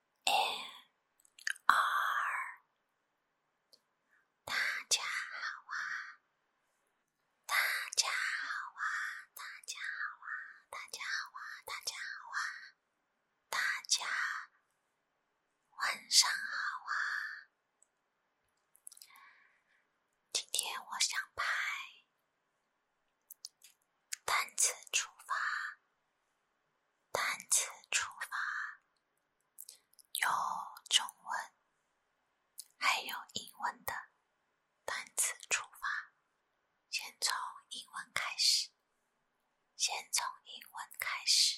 N R，大家好啊！大家好啊！大家好啊！大家好啊！大家好啊！大家晚上好啊！今天我想拍单次出发。丹前出发，有中文，还有英文的单词出发。先从英文开始，先从英文开始。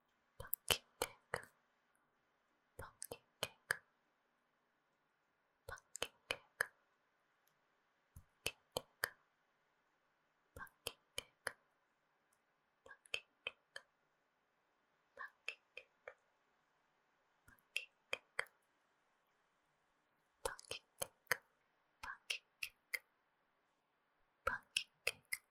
pumpkin cake, pumpkin cake, pumpkin cake, pumpkin cake, pumpkin cake, pumpkin cake, pumpkin cake, pumpkin cake, pumpkin cake, pumpkin cake, pumpkin cake.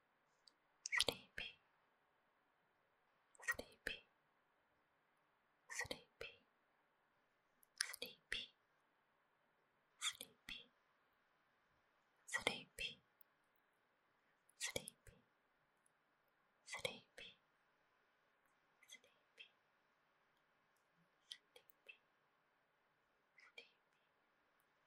sleepy, sleepy, sleepy, sleepy, sleepy, sleepy, sleepy, sleepy, sleepy. Sleepy, sleepy, sleepy,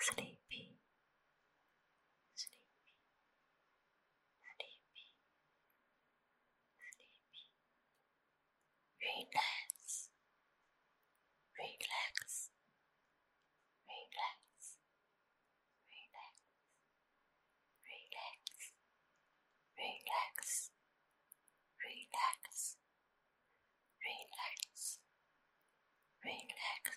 sleepy, sleepy, sleepy, sleepy. Relax, relax, relax, relax, relax, relax, relax, relax,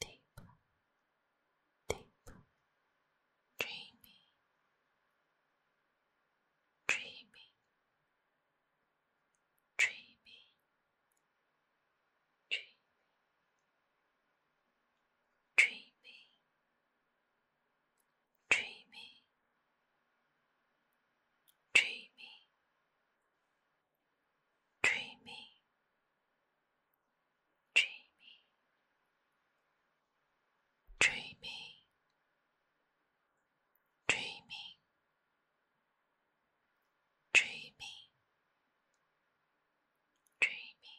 deep, deep, dreamy, dreamy, dreamy, dreamy, dreamy, dreamy, dreamy, dreamy, dreamy, dreamy, dreamy, dreamy, dreamy, dreamy,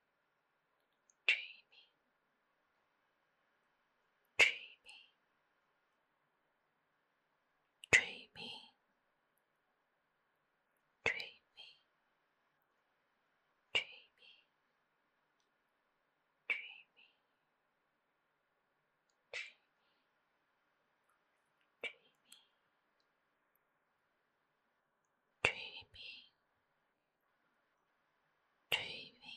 dreamy. Dreamy, dreamy, dreamy, dreamy, dreamy, dreamy, dreamy, dreamy, dreamy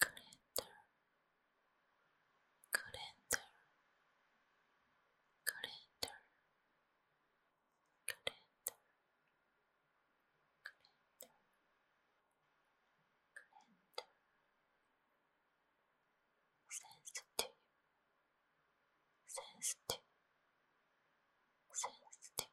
calendar calendar calendar calendar calendar calendar sensitive sensitive sensitive sensitive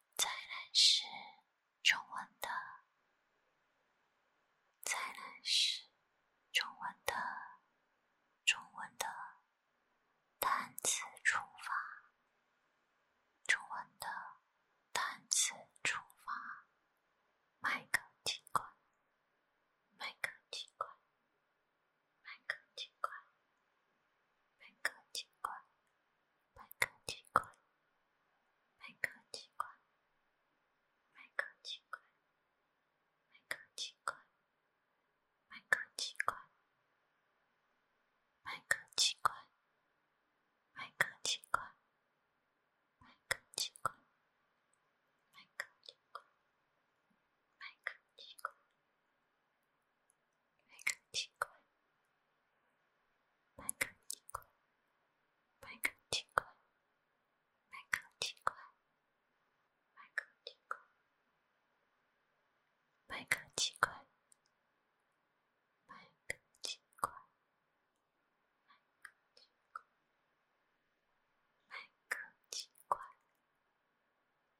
再来是中文的，再来是中文的，中文的单词出发，中文的单词出发，麦克几块，麦克机关，麦克机关，麦克机关，麦克机关，麦克机关，麦克机关，麦克机关，麦克机关，麦克机关。麦克奇怪，麦克奇怪，麦克奇怪，麦克奇怪，麦克奇怪，麦克奇怪，麦克奇怪，麦克奇怪。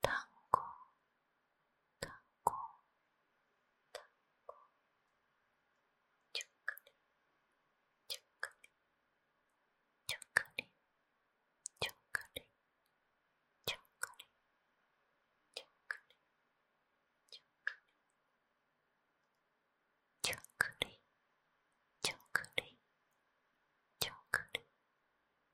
糖果，糖果，糖果，巧克力，巧克力，巧克力，巧克力，巧克力，巧克力，巧克力，巧克力，巧克力，巧克力。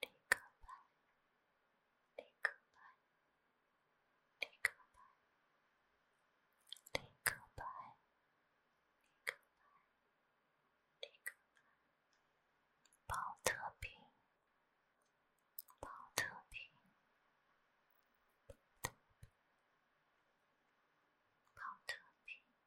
李克白，李克白，李克白，李克白，李克白，李克白，包特平，包特平，包特平。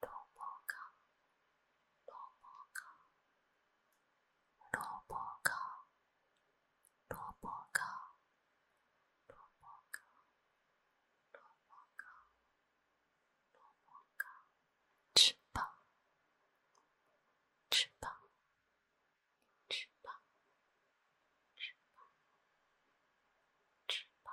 萝卜干，萝卜干，萝卜干，萝卜干，萝卜干，萝卜干，萝卜干，吃饱，吃饱，吃饱，吃饱，吃饱。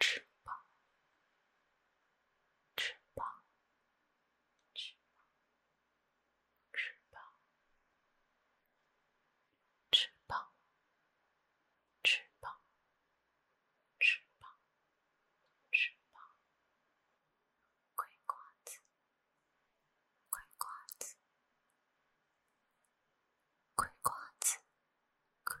翅膀，翅膀，翅膀，翅膀，翅膀，翅膀，翅膀，翅膀，葵瓜子，葵瓜子，葵瓜子，葵。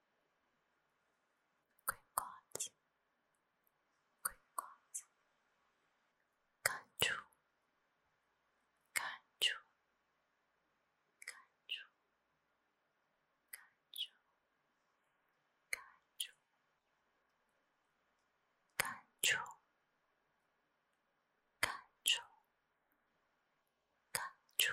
葵瓜子，葵瓜子，感触，感触，感触，感触，感触，感触，感触。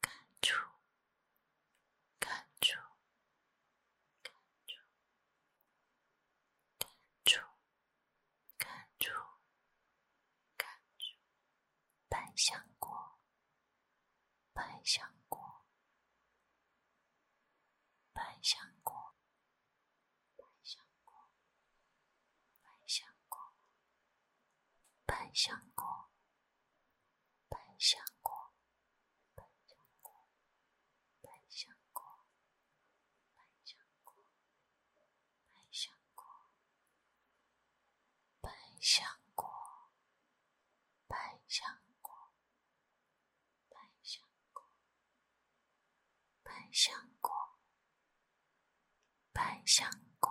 感触，感触，感触，感触，感触，感触。百香果，百香果，百香果，百香果，百香果。百香果，百香果，百香果，百香果，百香果，百香果，百香果，百香果，百香果，百香果。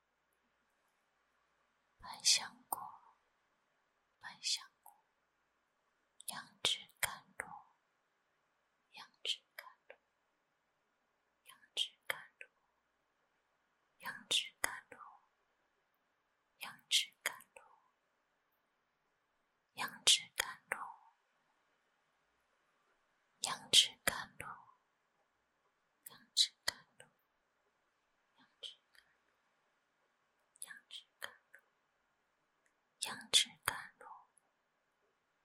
百香果，百香果，杨枝甘露，杨枝甘露，杨枝甘露，杨枝甘露，杨枝甘露，杨枝甘露，杨枝甘露。杨枝甘露，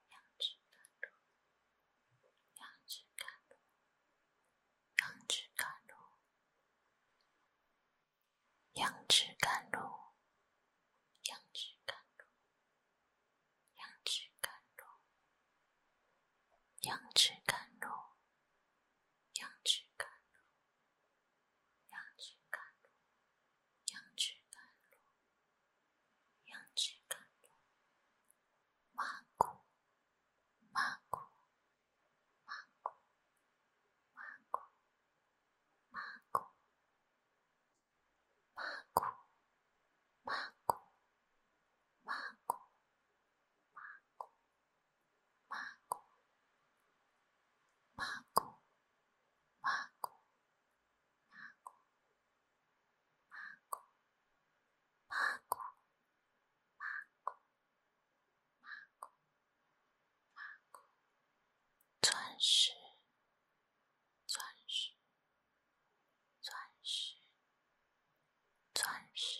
杨枝甘露，杨枝甘露，杨枝甘露，杨枝甘露，杨枝甘露，杨枝甘露，杨枝甘露，杨枝甘露，杨枝甘露。羊脂甘露，羊脂甘露，羊脂甘露，羊脂甘露，芒果，芒果，芒果，芒果，芒果，芒果，芒果，芒果，芒果。马古，马古，马古，马古，马古，马古，马古，马古，马古。钻石，钻石，钻石，钻石。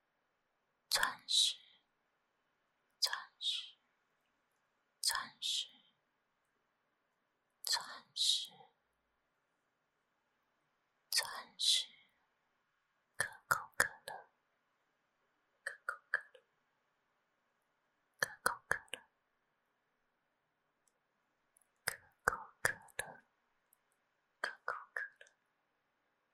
钻石，钻石，钻石，钻石，钻石，可口可乐，可口可乐，可口可乐，可口可乐，可口可乐。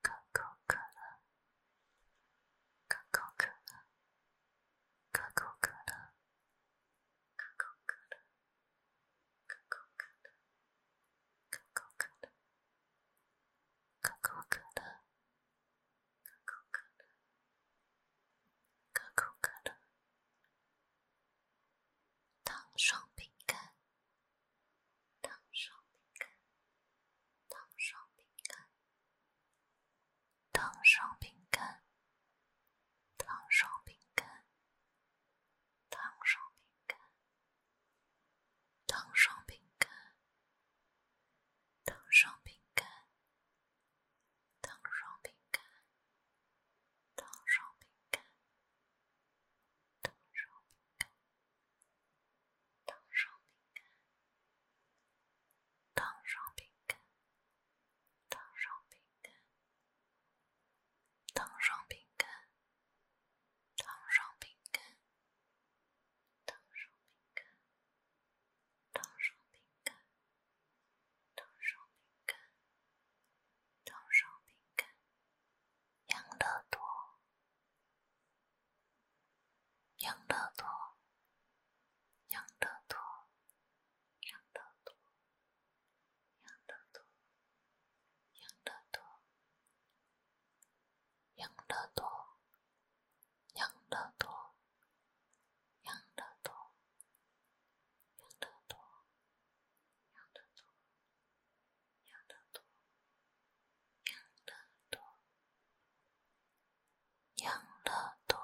可口可乐，可口可乐，可口可乐，可口可乐，可口可乐，可口可乐，可口可乐，可口可乐，可口可乐，糖霜饼干。糖霜饼干，糖霜饼干，糖霜饼干，糖霜饼干，糖霜饼干，糖霜饼干，糖霜饼干，糖霜饼干，糖霜饼干，糖霜。糖霜饼干，糖霜饼干，糖霜饼干，糖霜饼干，糖霜饼干，糖霜饼干，糖霜饼干，糖霜饼干，糖霜饼干，养乐多。养得多，养得多，养得多，养得多，养得多，养得多，养得多，养得多，养得多，养得多。养得多，养得多，养得多，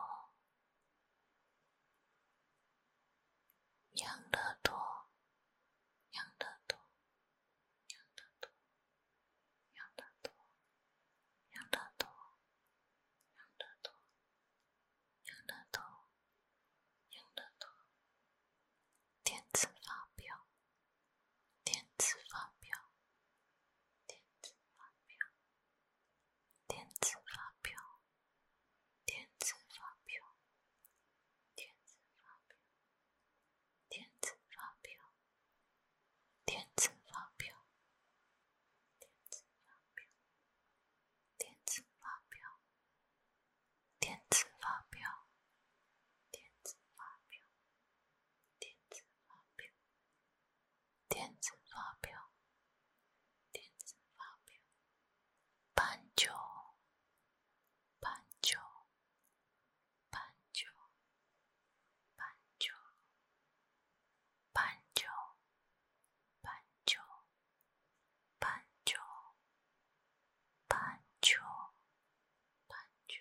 养得多，养得多，养得多，养得多，养得多，养得多，养得多，电子发表。电子发票，电子发票，电子发票，电子发票，电子发票，电子发票，电子发票，电子发票，电子发票。电子发票，电子发票，电子发票，半九，半九，半九，半九，半九，半九，半九，半九。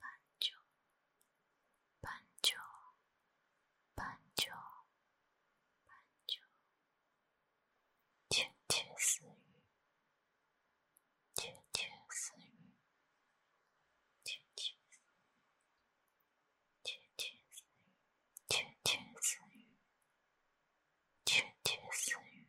板正，板正，板正，板正，窃窃私语，窃窃私语，窃窃私语，窃窃私语，窃窃私语，窃窃私语。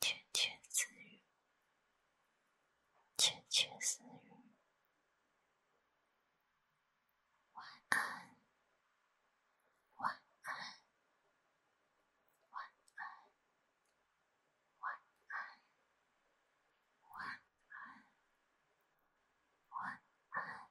窃窃私语，窃窃私语。晚安，晚安，晚安，晚安，晚安，晚安。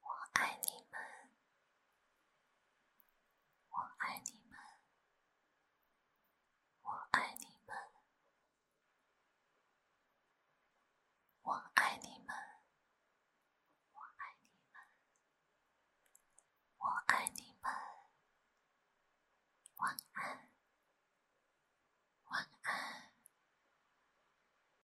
我爱你们，我爱你们，我爱你们，晚安，晚安。